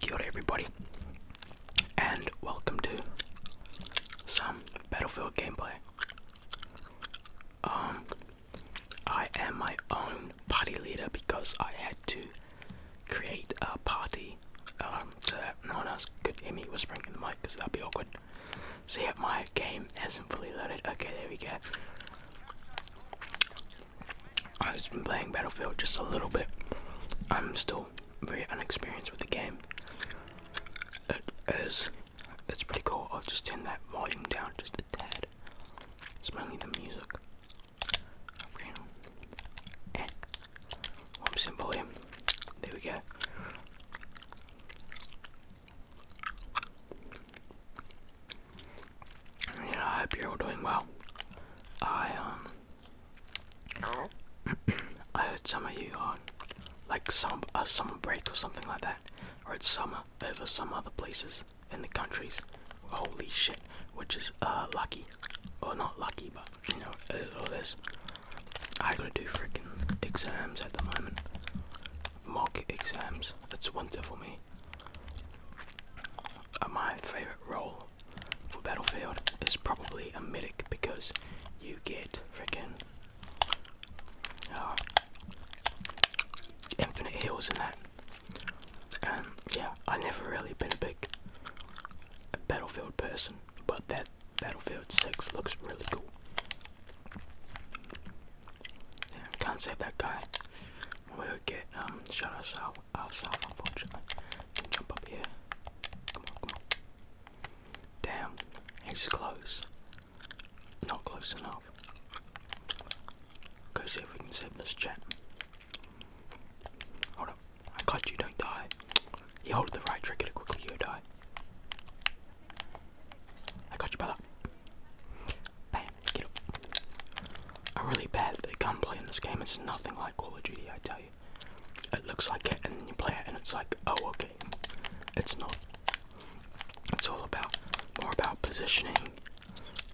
Kia everybody, and welcome to some Battlefield gameplay. Um, I am my own party leader because I had to create a party um, so no one else could hear me whispering in the mic because that'd be awkward. So yeah, my game hasn't fully loaded. Okay, there we go. I've been playing Battlefield just a little bit. I'm still very unexperienced with the game. It is, that's pretty cool. I'll just turn that volume down just a tad. It's mainly the music. Okay. And whoops and volume. There we go. You I hope you're all doing well. I um, I heard some of you are like some a summer break or something like that, or it's summer over some other places in the countries. Holy shit, which is uh lucky, or not lucky, but you know all this. I gotta do freaking exams at the moment, mock exams. It's winter for me. Uh, my favorite role for Battlefield is probably a medic because you get freaking uh, infinite heals and that. And yeah, I've never really been a big Battlefield person, but that Battlefield 6 looks really cool. can't save that guy. We'll get um shot ourselves ourselves unfortunately. jump up here. Come on, come on. Damn, he's close. Not close enough. Go see if we can save this chat. Hold up. I got you, don't die. You hold the right trigger to quickly you die. I got you, brother. I'm really bad at the gunplay in this game. It's nothing like Call of Duty, I tell you. It looks like it, and you play it, and it's like, oh, okay. It's not. It's all about more about positioning,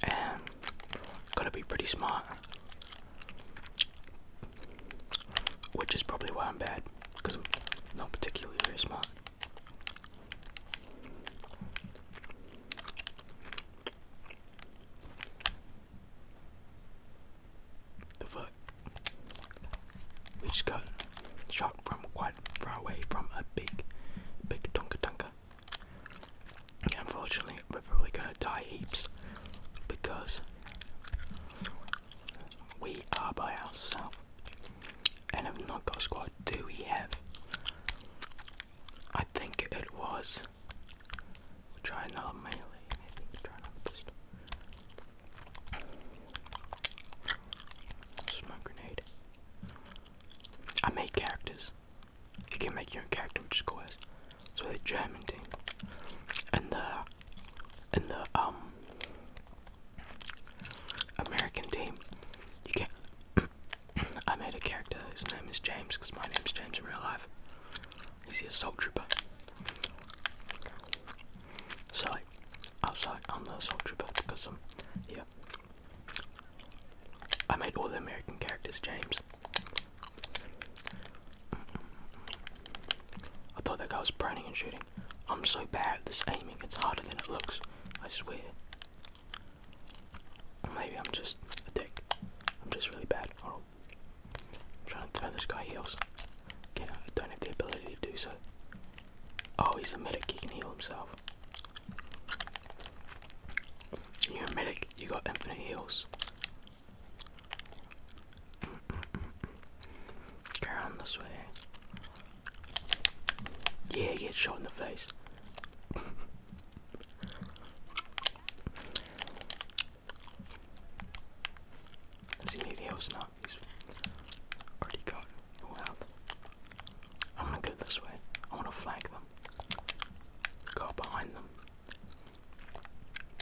and gotta be pretty smart. Which is probably why I'm bad, because I'm not particularly very smart. The fuck? We just got shot from quite far away from a big, big Tonka Tonka. Unfortunately, we're probably gonna die heaps because we are by ourselves and have not got a squad. Do we have? I think it was We'll try not melee, maybe we'll try not pistol. Smoke grenade. I made characters. You can make your own character which So the German team. And the and the um American team. You get I made a character whose name is James because my name is James in real life. He's the assault trooper. So like outside I'm the assault trooper because I'm yeah. I made all the American characters James. I thought that guy was burning and shooting. I'm so bad at this aiming, it's harder than it looks. I swear maybe I'm just a dick. I'm just really bad. Oh, trying to throw this guy heals. Again, I don't have the ability to do so. Oh, he's a medic. He can heal himself. You're a medic. You got infinite heals. Mm -mm -mm. this way. Yeah, get shot in the face. See, maybe I was not. He's already got full health. I'm gonna go this way. I wanna flank them. Go behind them.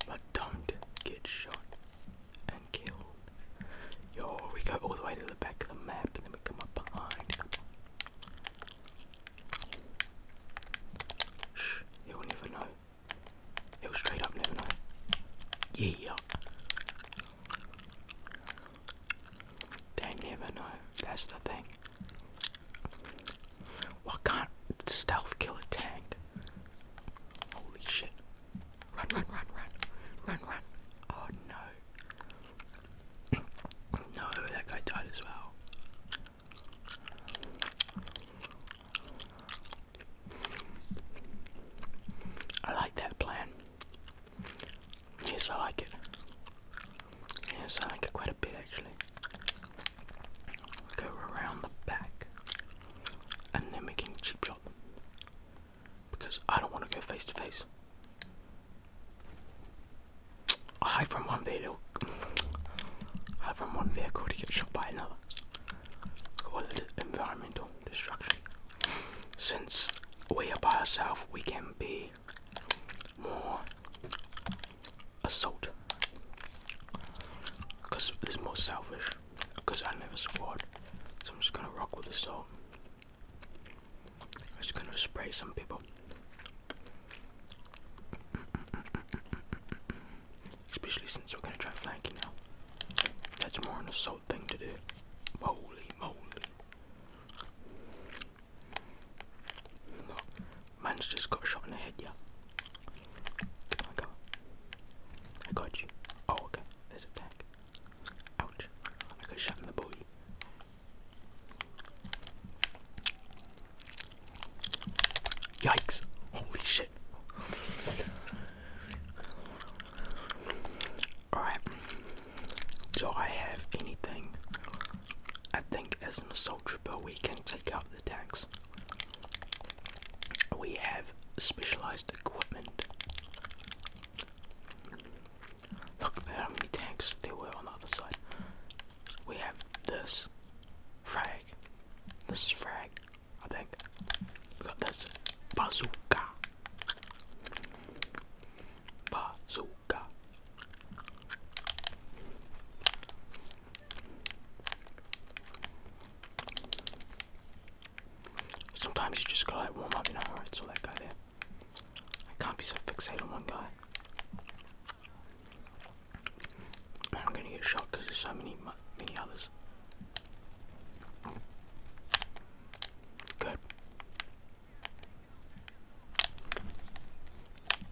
But don't get shot and killed. Yo, we go all the way to the back of the map and then we come up behind. Shh, he'll never know. He'll straight up never know. Yeah. They never know. That's the thing. Why can stealth kill a tank? Holy shit. Run, run, run, run. Run, run. Oh no. no, that guy died as well. I like that plan. Yes, I like it. Yes, I like it quite a bit actually. Go around the back and then we can cheap shot Because I don't want to go face to face. I hide from one vehicle. I from one vehicle to get shot by another. Call it environmental destruction. Since we are by ourselves, we can be more assault. Because it's more selfish. Because I never squad. So I'm just gonna rock with the assault. I'm just gonna spray some people. Especially since we're gonna try flanking now. That's more an assault thing to do. Holy moly. No, just got shot in the head, yeah. I got, I got you. Oh, okay. There's a tag. Ouch. I got shot in the body. Yikes. Holy shit. Alright. Do I have anything? I think as an assault trooper we can take out the tanks. We have specialized equipment. Look at how many tanks there were on the other side we have this frag. This is frag, I think. We got this bazooka. Bazooka. Sometimes you just gotta like warm up, you know, alright, so that guy there. I can't be so fixated on one guy. I'm gonna get shot because there's so many, many others. Good.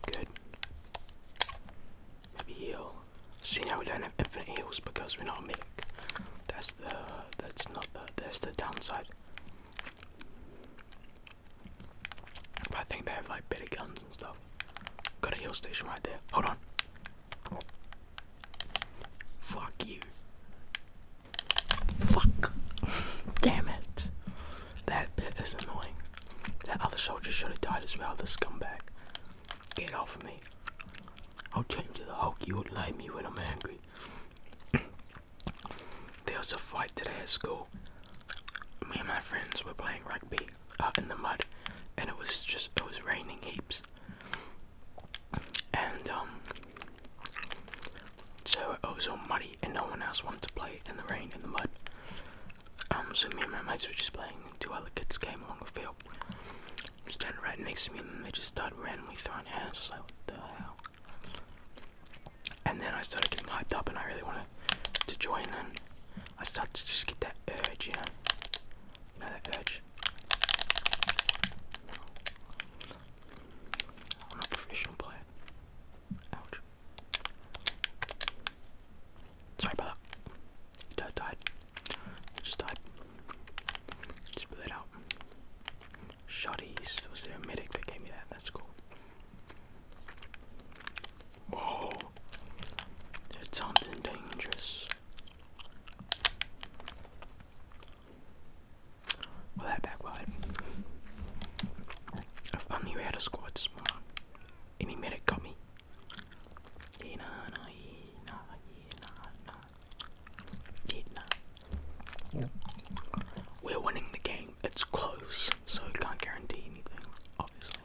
Good. Maybe heal. See now we do infinite heals because we're not medic. That's the that's not the that's the downside. I think they have like better guns and stuff. Got a hill station right there. Hold on. Fuck you. Fuck. Damn it. That bit is annoying. That other soldier should have died as well, the scumbag. Get off of me. I'll turn you to the Hulk. You would like me when I'm angry. There was a fight today at school. Me and my friends were playing rugby out in the mud, and it was just it was raining heaps. And um, so it was all muddy, and no one else wanted to play in the rain in the mud. Um, so me and my mates were just playing, and two other kids came along the field, standing right next to me, and then they just started randomly throwing hands. I was like, what the hell? And then I started getting hyped up, and I really wanted to join. And I started to just get that urge, you know, that urge. I'm a professional player. Ouch. Sorry about that. He died. He just died. Just put that out. Shotties. Was the a medic that gave me that? That's cool. Whoa, that's something dangerous. Well, that backfired. If only we had a squad this morning. Any medic got me. Yeah, nah, We're winning the game it's close, so I can't guarantee anything, obviously.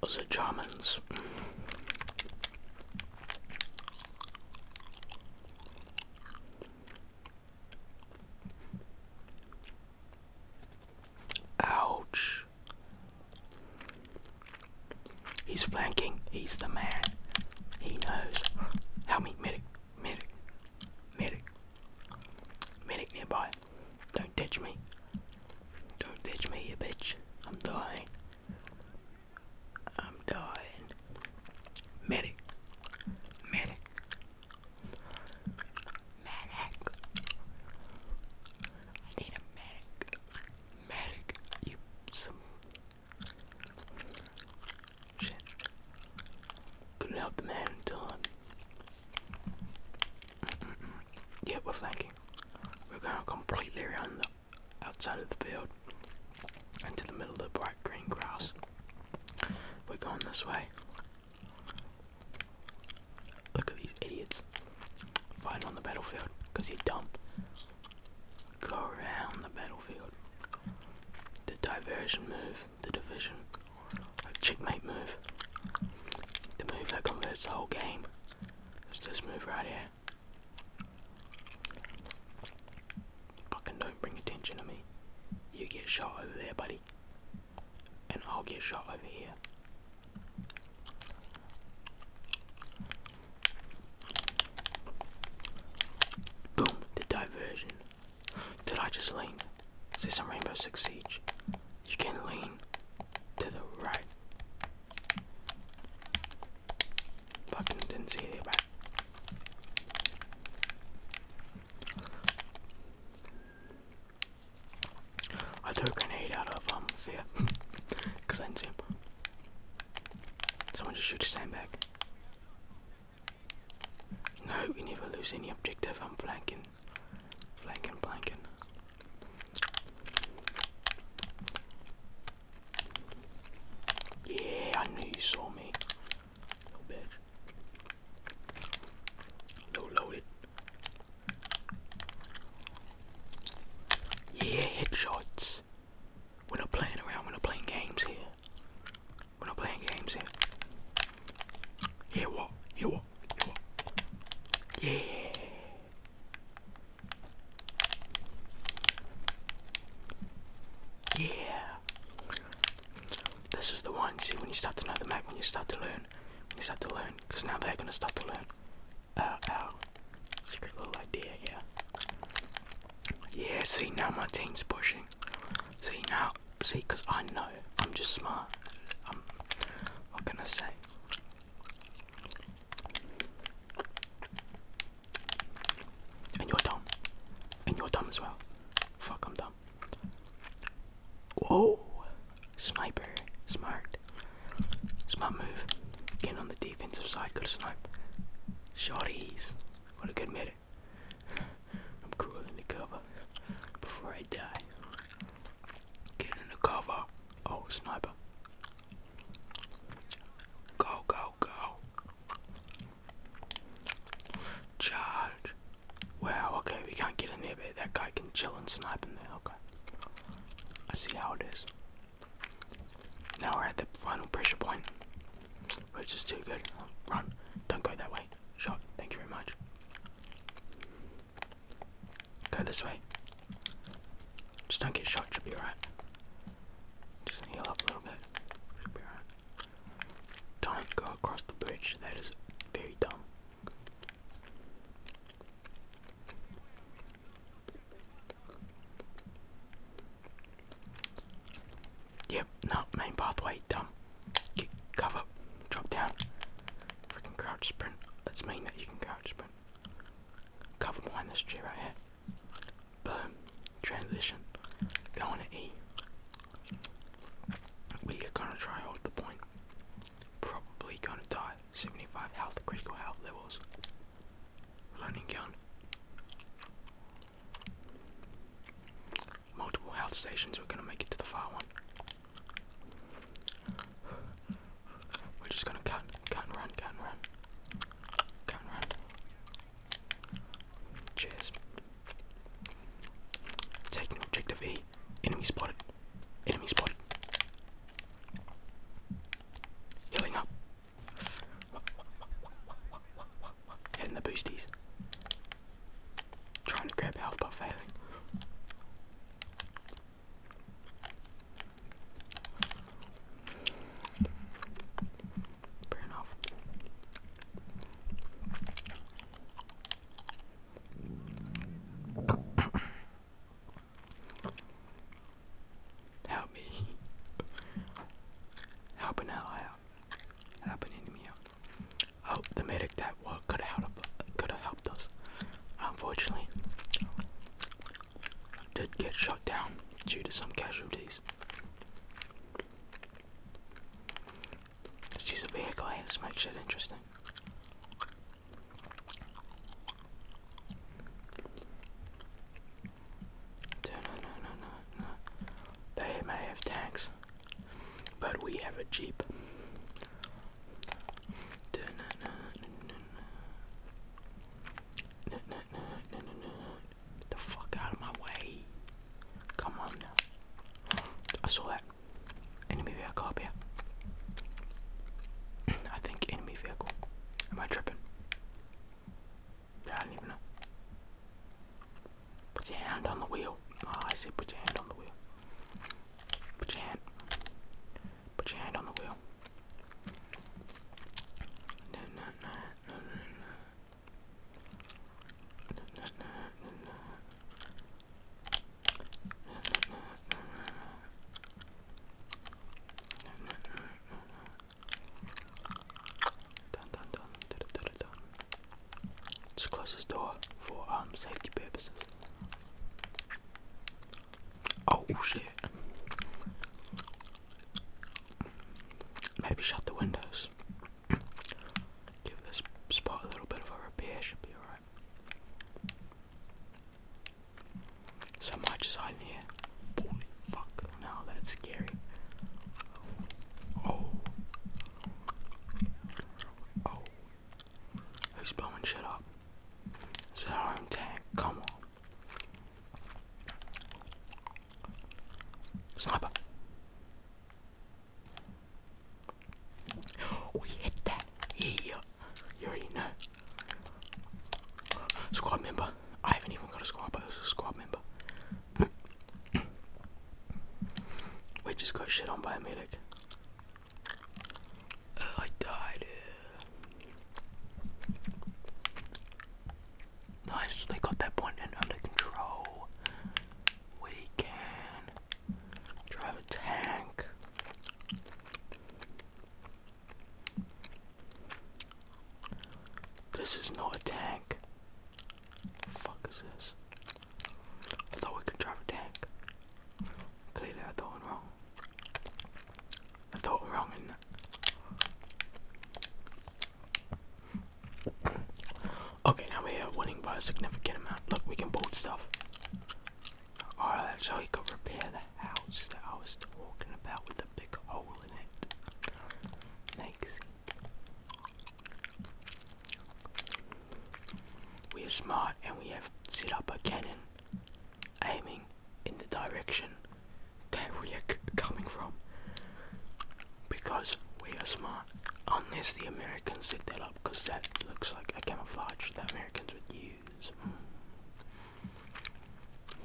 Was it Germans? Ouch. He's flanking. He's the man. He knows. Help me, medic. Medic. Medic. Medic nearby. Don't ditch me. Don't ditch me, you bitch. I'm dying. I'm dying. Medic. Medic. Medic. I need a medic. Medic. You some shit. Couldn't help the man in time. Yeah, we're flanking. We're going completely around the outside of the field into the middle of the bright green grass. We're going this way. Look at these idiots fighting on the battlefield because you're dumb. Go around the battlefield. The diversion move the division. A checkmate move. The move that converts the whole game. It's this move right here. Fucking don't bring attention to me. You get shot over there, buddy. And I'll get shot over here. Boom, the diversion. Did I just lean? See some Rainbow succeed. You can lean to the right. Fucking didn't see it back. I threw a grenade out of um fear. Cause I didn't see him. Someone just shoot his a back. No, we never lose any objective. I'm flanking. Flanking, flanking. Yeah, I knew you saw me. Little bitch. Little loaded. Yeah, headshots. We're not playing around, we're not playing games here. We're not playing games here. Yeah, what? Yeah, what? Yeah, Yeah. This is the one. See, when you start to know the map, when you start to learn, when you start to learn, because now they're gonna start to learn. Our, uh, our uh, secret little idea here. Yeah, see, now my team's pushing. See now, see, because I know I'm just smart. I'm, what can I say? And you're dumb. And you're dumb as well. Fuck, I'm dumb. Whoa! Sniper. Smart. Smart move. Again on the defensive side. Good snipe. Shorties. gotta good mid. I'm crawling the cover before I die. Get in the cover. old oh, sniper. Go, go, go. Charge. Wow, okay, we can't get in there, but that guy can chill and snipe in there, okay. I see how it is. Now we're at the final pressure point, which is too good. Run, don't go that way shot. Thank you very much. Go this way. Just don't get shot. Should be alright. Just heal up a little bit. Should be alright. Don't go across the bridge. That is very dumb. Yep, no, main pathway, dumb. Kick, cover, drop down. Freaking crouch sprint. Let's mean that you can crouch sprint. Cover behind this tree right here. Boom. Transition. Going to E. We are gonna try hold the point. Probably gonna die. 75 health, critical health levels. Loading gun multiple health stations. We're gonna make it to the far one. We're just gonna cut, cut and run, cut and run, cut and run. Cheers. Taking objective E. Enemy spotted. Enemy spotted. Healing up. Hitting the boosties. Trying to grab health but failing. Fair enough. Help me. Help an ally out. Help an enemy out. Oh, the medic that could have could have helped us. Unfortunately, did get shot down due to some casualties. Let's use a vehicle. Hey, let's make shit interesting. They may have tanks. But we have a Jeep. the fuck out of my way. Come on now. I saw that. Enemy vehicle up here. I think enemy vehicle. Am I tripping? Yeah, I don't even know. Put your hand on the wheel. Ah, I see. Put your hand on the wheel. Put your hand. Put your hand on the wheel. Dun, dun, dun, dun, dun, dun, dun. Just close this door for um safety purposes. Oh shit. Maybe shut the windows. Give this spot a little bit of a repair, should be alright. So much is hiding here. Holy fuck, now that's scary. Oh, Oh, who's blowing shit up? It's our own tank. Come on, sniper. We hit that. Yeah, you already know. Squad member. I haven't even got a squad, but it's a squad member. We just got shit on by a medic. Oh, I died. Nice, they got that point and under control. We can drive a tank. This is not a tank. The fuck is this? I thought we could drive a tank. Clearly I thought wrong. I thought wrong in that. okay, now we are winning by a significant amount. Look, we can build stuff. Alright, so we could repair the house that I was talking about with the big hole in it. Thanks. We are smart and we have set up a cannon aiming in the direction that we are coming from because we are smart. Unless the Americans set that up because that looks like a camouflage that Americans would use. Hmm.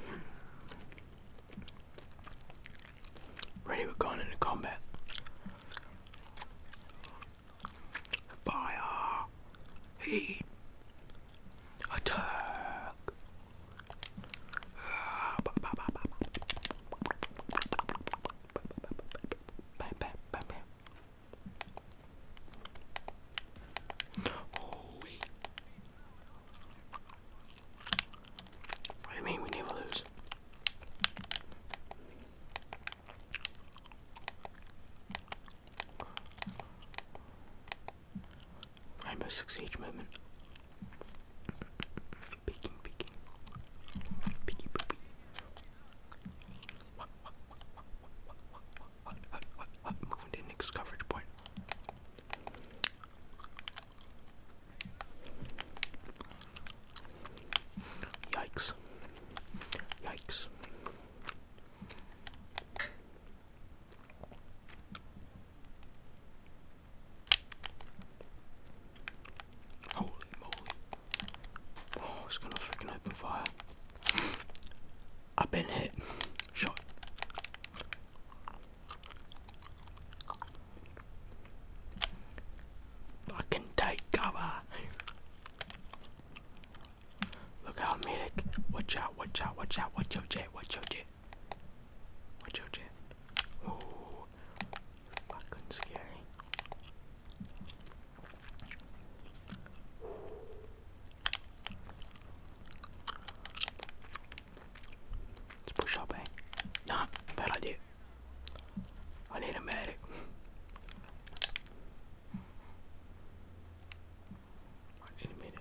Hmm. Ready, we're going into combat. Fire! Heat! Attack! Holy! I mean, we never lose. Rainbow Six Siege movement. Peeking, peeking. Peeky, peeky. Moving to next coverage point. Yikes. Yikes. Holy moly. Oh, it's gonna freaking open fire. I've been hit. Shot. Fucking take cover. Look out, medic. Watch out, watch out, watch out, watch your jet, watch your jet. Watch your jet. Ooh. Fucking scary. Let's push up, eh? Nah, bad idea. I need a medic. I need a medic.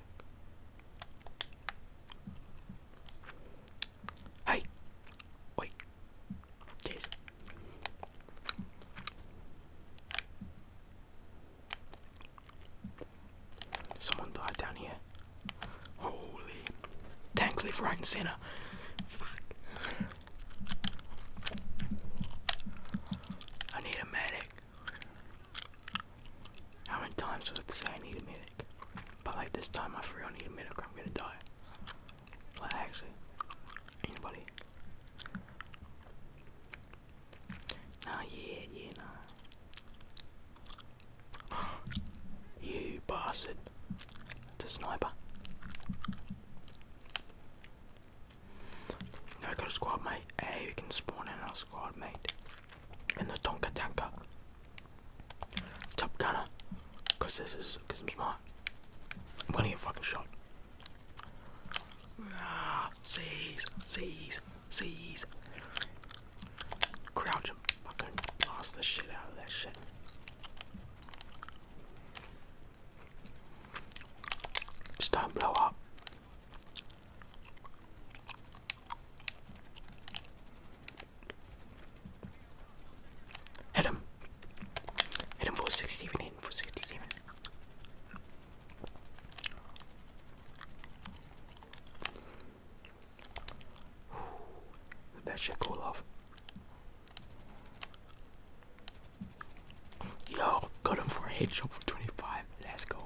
Hey, wait, Jeez. Someone died down here. Holy, tanks live right and center. Fuck. I need a medic. How many times do I have to say I need a medic? But like this time I for real need a medic I'm gonna die. Like actually. Anybody? Nah yeah, yeah, nah. you bastard. It's a sniper. I got a squad mate. Hey, we can spawn in our squad mate. In the Tonka Tanker. Top Gunner. Cause this is, cause I'm smart. I'm gonna get fucking shot. Ah, seize, seize, seize. Crouch and fucking blast the shit out of that shit don't blow up. Hit him. Hit him for 67 in for 67. That shit cool off. Yo, got him for a hit for 25. Let's go.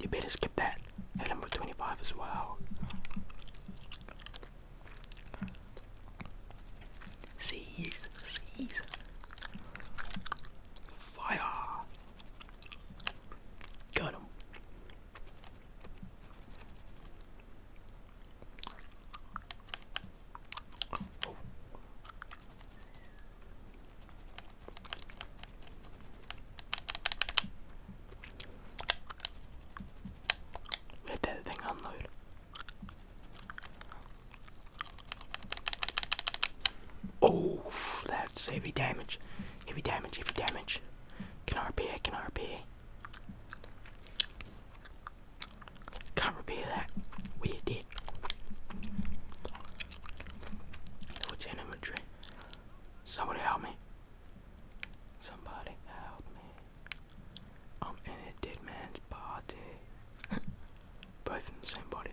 You better skip that. Hit him for 25 as well. Seize, seize. Fire. Got him. Oh. that thing unload. Oh, that's heavy damage. Heavy damage, heavy damage. Can RPA, can RPA. Can't repeat that. We did. What's in inventory? Somebody help me. Somebody help me. I'm in a dead man's party. Both in the same body.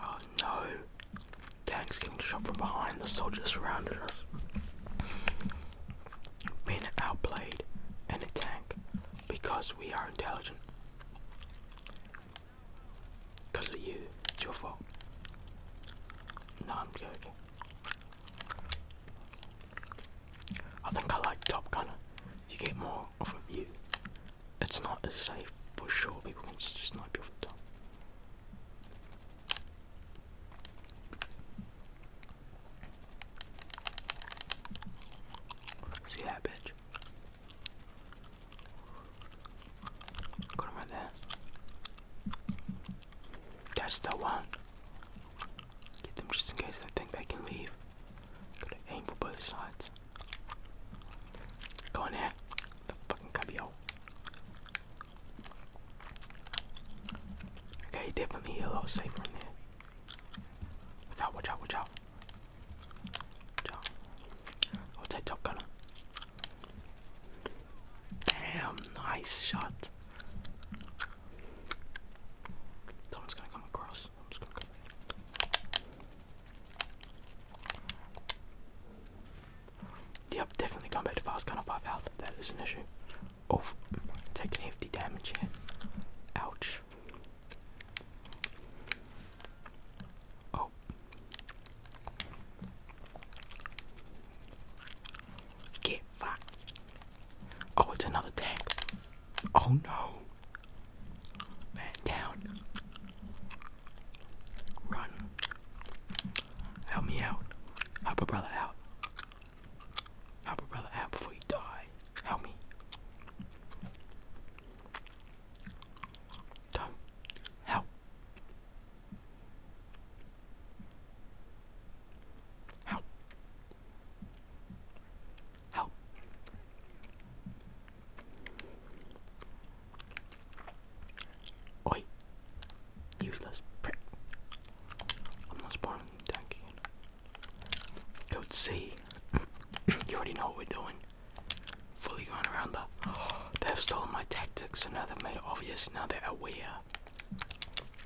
Oh no. Tanks came to shot from behind, the soldiers surrounded us. Being outplayed and a tank because we are intelligent. Because of you, it's your fault. No, I'm joking. I think I like Top Gunner. You get more off of you. It's not as safe for sure. People can just snipe you off the top. See that bitch? Go to my That's the one. Let's get them just in case I think they can leave. aim for both sides. Go in there. The fucking cubbyhole. Okay, definitely a lot safer in there. Watch out, watch out, watch out. Watch out. i take Top Gunner. Damn, nice shot. Someone's gonna come across. Yep, definitely come back to fast gun of 5 health. That is an issue. Oh, taking hefty damage here. Ouch. Oh. Get fucked. Oh, it's another tank. Oh no. Man down. Run. Help me out. Help a brother out. Help a brother out before you die. Help me. help. Help. Help. Oi. Useless prick. I'm not spawning the tank again. Code C. you already know what we're doing. Fully going around the. They've stolen my tactics, so now they've made it obvious. Now they're aware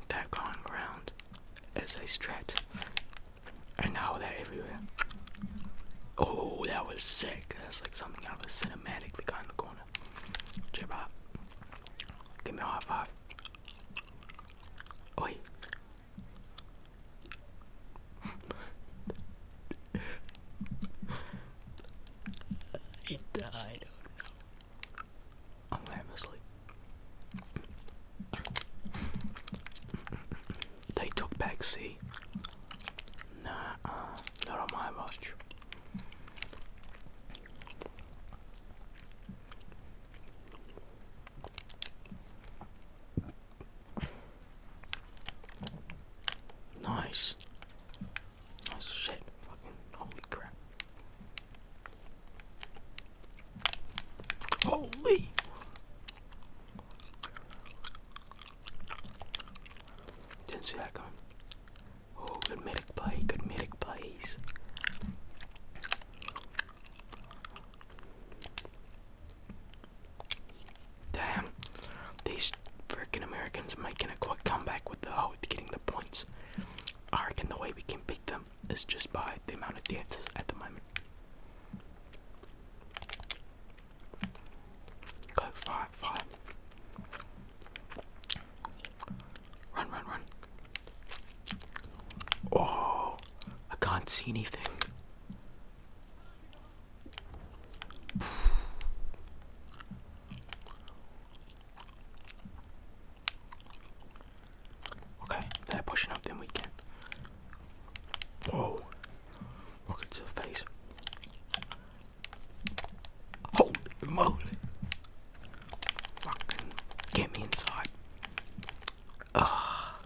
They're going around as they strat. And now they're everywhere. Oh, that was sick. That's like something out of a cinematic, the guy in the corner. Jib Give me a high Oi. he died. Oh I'm going sleep. They took back C. Nah, uh, not on my watch. Nice. Nice shit. holy crap. Holy. Didn't see that coming. Oh, good medic play, good medic plays. Damn, these fricking Americans are making a quick comeback with the oh, with getting the points. I reckon the way we can beat them is just by the amount of deaths at the moment. Go fire, fire. Run, run, run. Oh, I can't see anything. Okay, they're pushing up, then we can. Whoa! Rocket to the face. Holy moly! Fucking get me inside. Ah,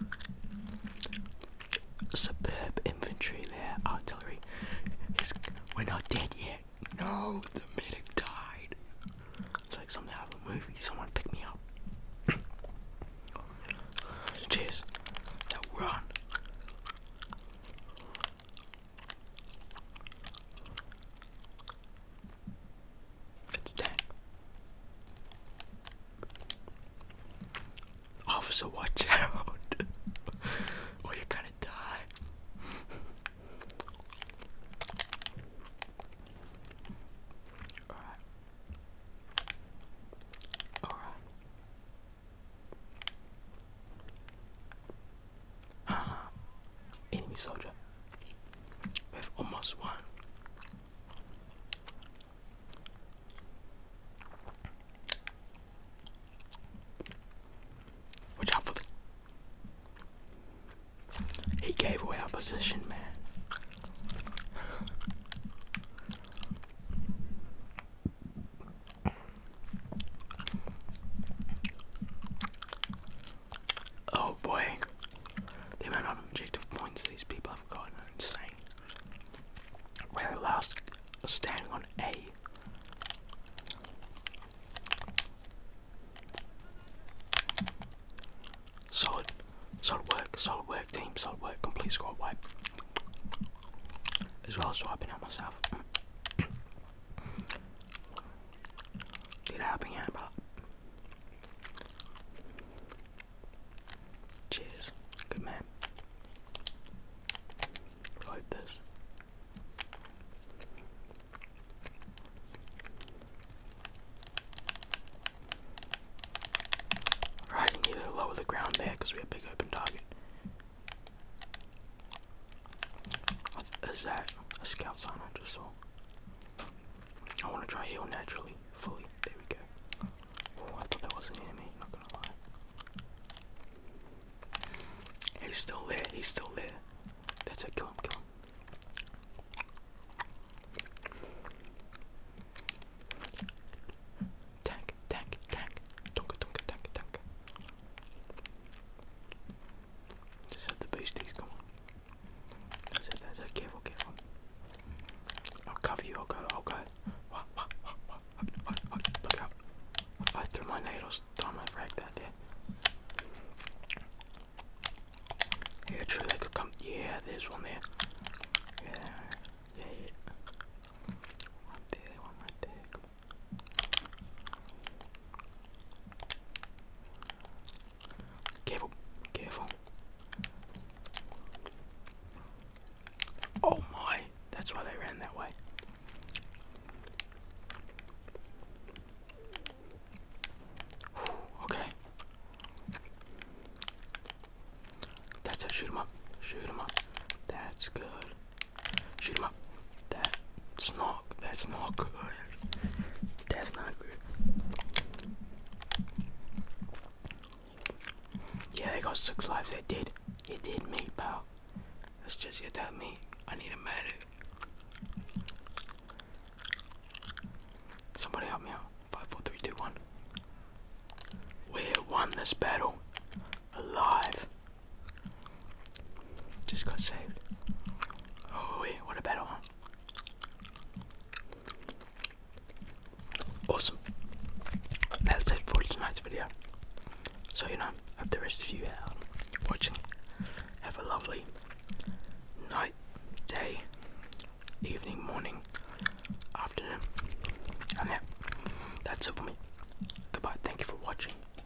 superb infantry there, artillery. we're not dead yet. No, the medic died. It's like something out of a movie. Someone pick me up. Cheers. Now run. It's tank. Officer, watch out! or you're gonna die. Alright. Alright. Uh-huh. enemy soldier. We've almost won. Watch out for the. He gave away our position, man. Oh boy. The amount of objective points these people have gotten are insane. Where the last standing on A. Solid, solid work, solid work team, solid work, complete squad wipe. As well as wiping out myself. Tira piña de palo. Cheers. Good man. Like this. Right, I need to lower the ground there because we have a big open target. Is that a scout sign I just saw? I want to try heal naturally, fully. There we go. Oh, I thought that was an enemy, not gonna lie. He's still there, he's still there. That's it, kill him, kill him. Tank, tank, tank. Donka, donka, tank, tank. Just have the boosties, come on. That's it, that's it. Careful, careful. I'll cover you, I'll go, I'll go. look out. I threw my needles, time I frag that Yeah, true, they could come. Yeah, there's one there. Yeah, yeah, One there, one right there. Careful, careful. Oh my, that's why they ran that way. okay. That's it, shoot up, shoot up. That's good. Shoot him up. That's not. That's not good. Oh, That's not good. Yeah, they got six lives. They did. It did me, pal. Let's just get that meat. I need a medic. Somebody help me out. Five, four, three, two, one. We won this battle. Alive. Just got saved. Oh wait, what a better one. Awesome. That's it for tonight's video. So you know, hope the rest of you out watching. Have a lovely night, day, evening, morning, afternoon. And yeah, that's it for me. Goodbye, thank you for watching.